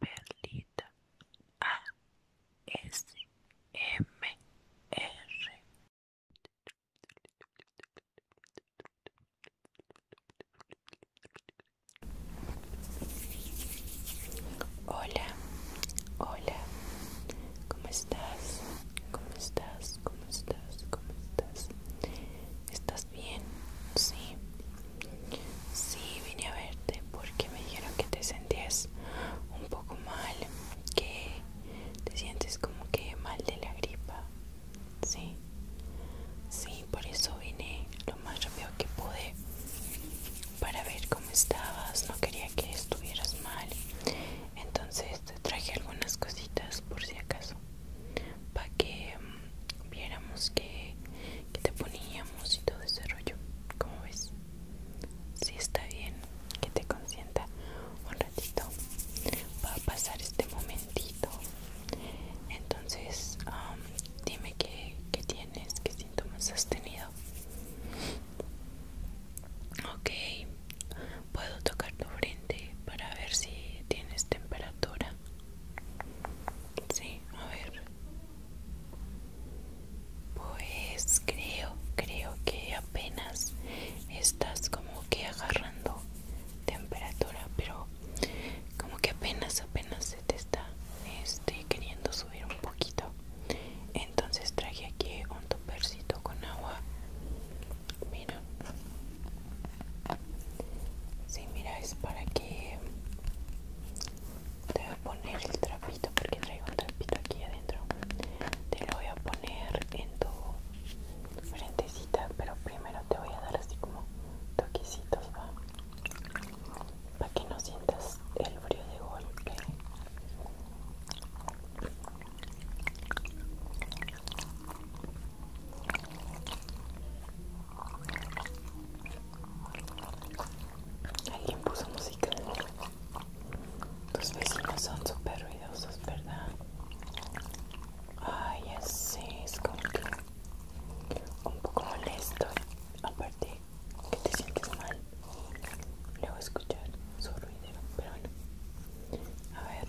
Perlita A Hola, hola, ¿cómo estás? ¿Cómo estás? ¿Cómo estás? ¿Cómo estás? ¿Estás bien? Sí. Sí, vine a verte porque me dijeron que te sentías un poco mal, que te sientes como que mal de la gripa. Sí. Sí, por eso vine lo más rápido que pude para ver cómo estabas. No quería que estuvieras mal. Entonces te traje algunas cositas por si acaso para que mm, viéramos que, te poníamos y todo ese rollo como ves si está bien que te consienta un ratito para pasar este momentito entonces um, dime qué, tienes qué síntomas has tenido ok puedo tocar tu frente para ver si tienes temperatura. Sí, a ver. Pues creo, creo que apenas estás como que agarrando temperatura, pero como que apenas, apenas se te está este, queriendo subir un poquito. Entonces traje aquí un topercito con agua. Mira. Sí, mira, es para que te voy a poner el trapito porque traigo un trapito aquí adentro. Te lo voy a poner en tu frentecita, pero primero te voy a dar así como toquecitos, ¿va? Para que no sientas el frío de golpe. Alguien puso música. Tus vecinos son súper ruidosos, ¿verdad? Ay, así es como que un poco molesto. Aparte, que te sientes mal. Luego escuchar su ruido, pero bueno. A ver,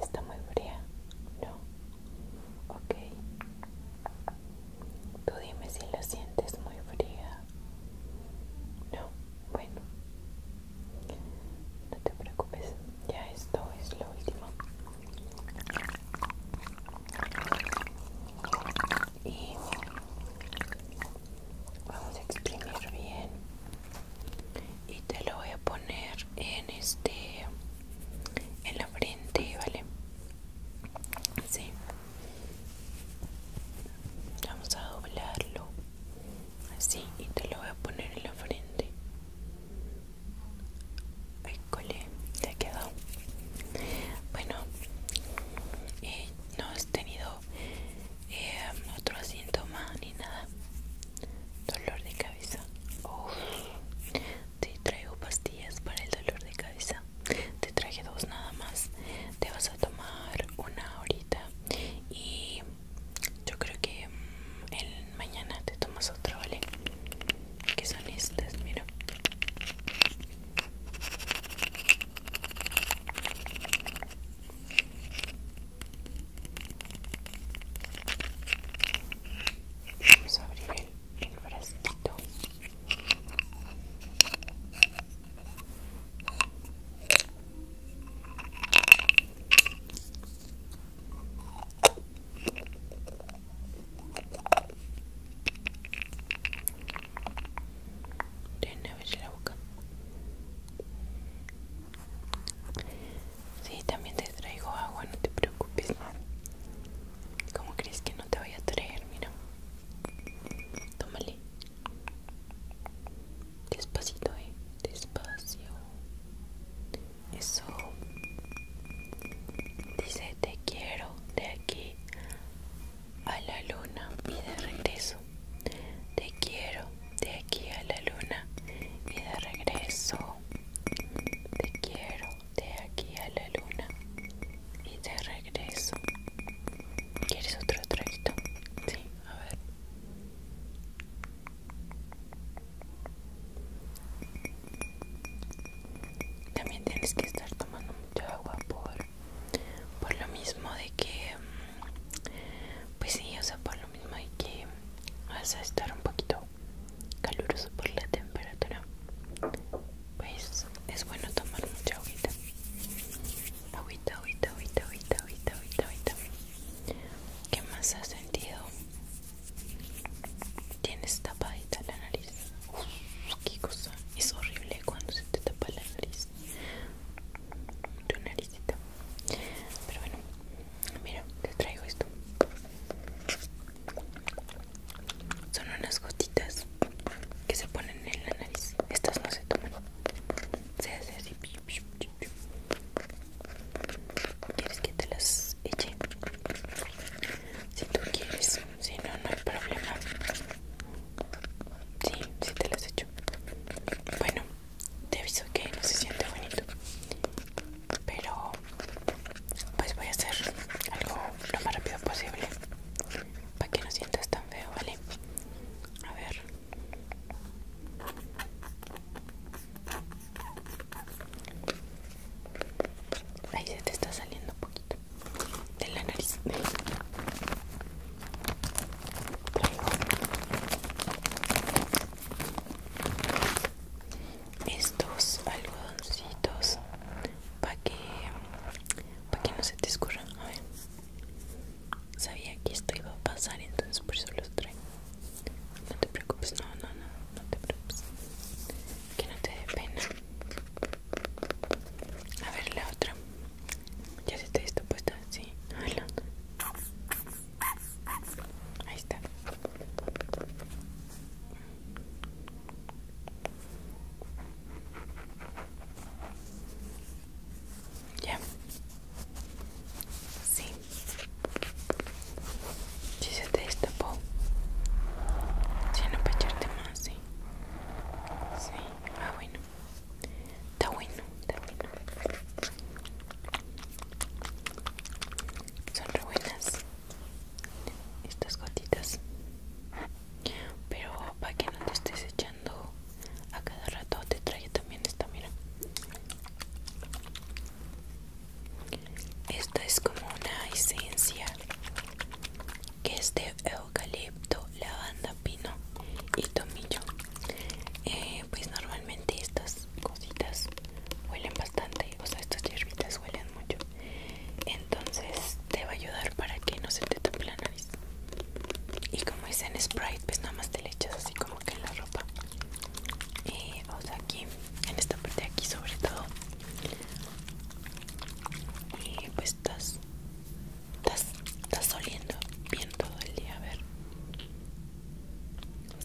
Está muy fría, ¿no? Okay. Tú dime si lo sientes muy fría. No, bueno. No te preocupes, ya esto es lo último y vamos a exprimir bien y te lo voy a poner en este en la frente vale sí vamos a doblarlo así y te lo voy a poner en la frente se te quedado. Bueno, eh, no has tenido eh, otro síntoma ni nada. Dolor de cabeza. Te traigo pastillas para el dolor de cabeza. Te traje dos nada más. Te vas a tomar una ahorita y yo creo que mm, el mañana te tomas otro, ¿vale? Que son estas, mira. Vamos a abrir el, frasquito tiene la boca. Sí, también te traigo agua, no te preocupes. ¿Cómo crees que no te voy a traer? Mira. Tómale. Despacito, eh. Despacio. Eso. Dice te quiero de aquí a la luna y de regreso. Te quiero de aquí a la luna y de regreso. Te quiero de aquí a la luna y de regreso. ¿Quieres otro trato? Sí, a ver. También tienes que estar tomando mucha agua por, por lo mismo de que, mm, pues sí, o sea, por lo mismo de que vas a estar un poquito caluroso por la temperatura. Pues es bueno tomar mucha agüita. Agüita, agüita, agüita, agüita, agüita, agüita, agüita. ¿Qué más has sentido? Tienes tapadita la nariz. Uf, qué cosa. Es horrible cuando se te tapa la nariz. Tu naricita. Pero bueno, mira, te traigo esto. Son unas gotitas que se ponen en la nariz. Estas no se toman quieres que te las eche si tú quieres si no no hay problema sí sí te las echo bueno te aviso que no se siente bonito pero pues voy a hacer algo lo más rápido posible para que no sientas tan feo vale a ver. Ahí se te está saliendo un poquito de la nariz. estos algodoncitos para que, para que no se te escurran. A ver. Sabía que esto iba a pasar, entonces por eso los traigo. No te preocupes, no, no, no, no te preocupes. Que no te dé pena. A ver la otra. Ya se te está puesta, sí. Hola. Ahí está. Ya. Sí. Si se te Si no más, sí. Sí. Ah, bueno. Está bueno, está bueno. Son re buenas estas gotitas. Pero para que no te estés echando a cada rato te trae también esta, mira. Esta es como una esencia que es de eucalipto, lavanda, pino y tomillo. Eh, pues normalmente estas cositas huelen bastante, o sea, estas hierbitas huelen mucho entonces te va a ayudar para que no se te toque la nariz y como es en Sprite pues nada más te le echas así como que en la ropa y eh, o sea aquí en esta parte de aquí sobre todo y pues estás estás, estás oliendo bien todo el día a ver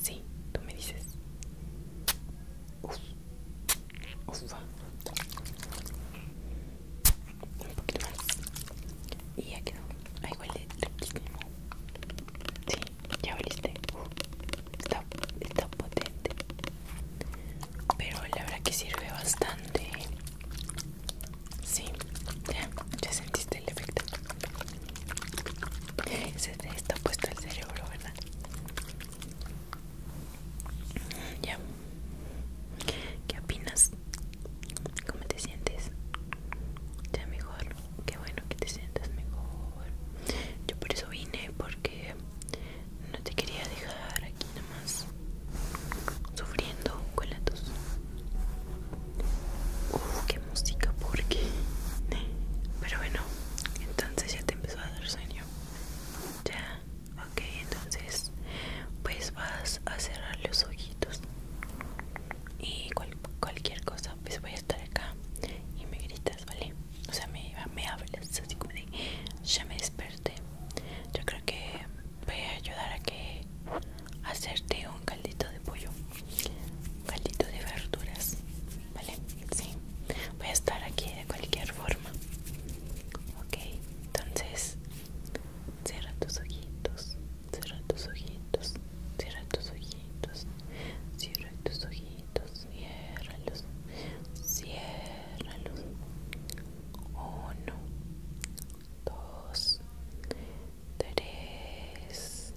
sí tú me dices uff, uff, Un poquito más. Y ya quedó. Ay, huele Sí, ya oliste. Está, está potente. Pero la verdad que sirve bastante. Sí, ya, sentiste el efecto. Se te está puesto el cerebro, ¿verdad? Ya. ¿Qué opinas? ¿Cómo te sientes? Ya mejor. Qué bueno que te sientas mejor. Yo por eso vine porque no te quería dejar aquí nomás sufriendo con la tos. Uf, qué música, porque. Pero bueno, entonces ya te empezó a dar sueño ya ok entonces pues vas a cerrar los ojitos y cualquier cosa pues voy a estar acá y me gritas vale o sea me, me hablas así como de ya me desperté yo creo que voy a ayudar a que hacerte un caldito de pollo un caldito de verduras ¿Vale? Sí. Voy a estar aquí de cualquier forma. Ok, entonces cierra tus ojitos, cierra tus ojitos, cierra tus ojitos, cierra tus ojitos, ciérralos, ciérralos. Uno, dos, tres.